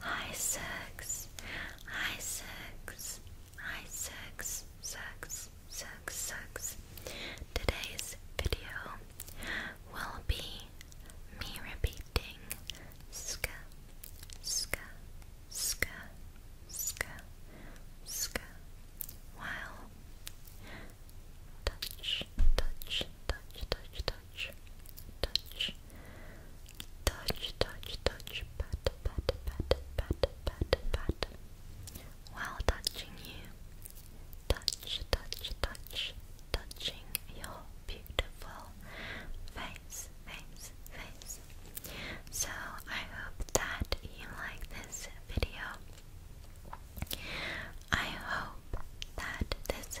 Hi six, hi six, hi six, six, six, six. Today's video will be me repeating ska, ska, ska, ska, ska, while touch, touch, touch, touch, touch touch, touch, touch, touch, touch, pat, pat, pat, pat, pat, pat, while touching you, touch, touch, touch, touching your beautiful face, face, face. So I hope that you like this video. I hope that this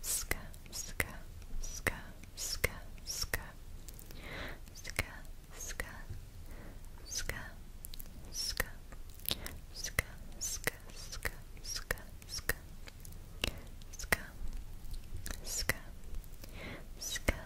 ska, ska, ska, ska, ska, ska, ska, ska, ska, ska, ska, ska, ska, ska, ska, ska, ska, ska,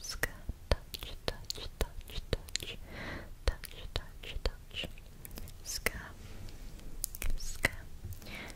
ska, touch, touch, touch, touch, touch, touch, touch, ska, ska,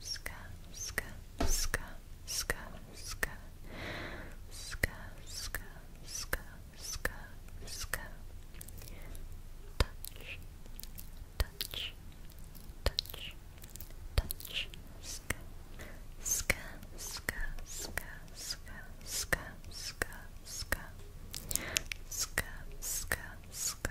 ska, ska, ska, ska, ska, ska, ska, ska, ska, ska, touch, touch, touch, touch, ska, ska, ska, ska, ska, ska, ska, ska, ska, ska, ska, ska,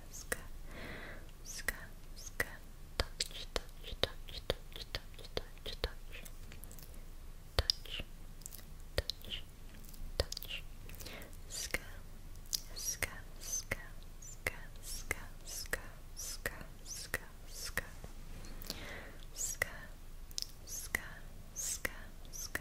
ska, ska, ska, touch, touch, touch, touch, touch, touch, touch, touch, touch, touch, ska, ska, ska, ska, ska, ska, ska, ska, ska, ska, ska, ska, ska, ska,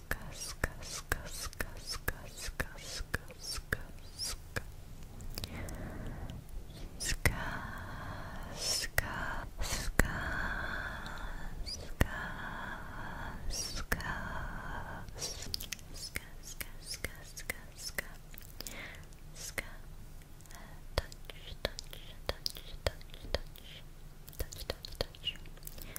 ska ska ska ska ska ska ska ska ska ska ska ska ska ska ska ska ska Ska uh, touch, touch, touch, touch, touch, touch, touch, touch,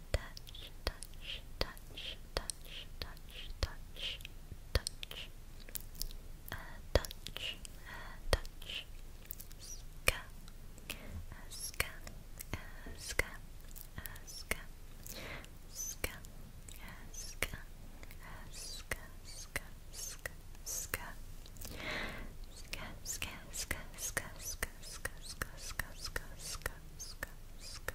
touch, touch, touch, touch, touch, touch, touch, uh, touch, uh, touch, ska, uh, ska, uh, ska, uh, ska, ska, uh, ska, uh, ska, ska, ska, ska, ska, ska, ska, ska, ska, ska, ska, ska, ska, ska, ska, ska,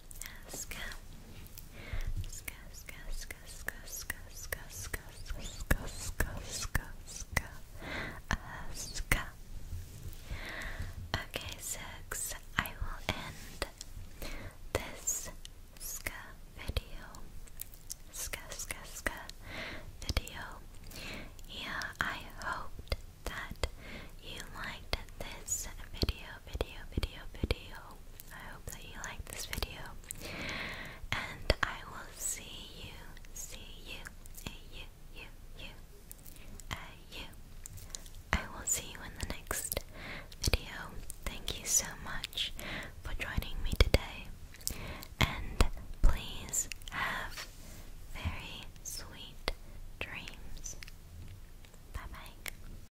Ska, ska, ska, ska, ska, ska, ska, ska, ska, ska, ska, ska, uh, ska. Okay, six. I will end this ska video, ska, ska, ska video. Yeah, I hoped that you liked this video, video, video, video. I hope that you liked this video. And I will see you, see you, uh, you, you, you, uh, you. I will see you in the next video. Thank you so much for joining me today. And please have very sweet dreams. Bye bye.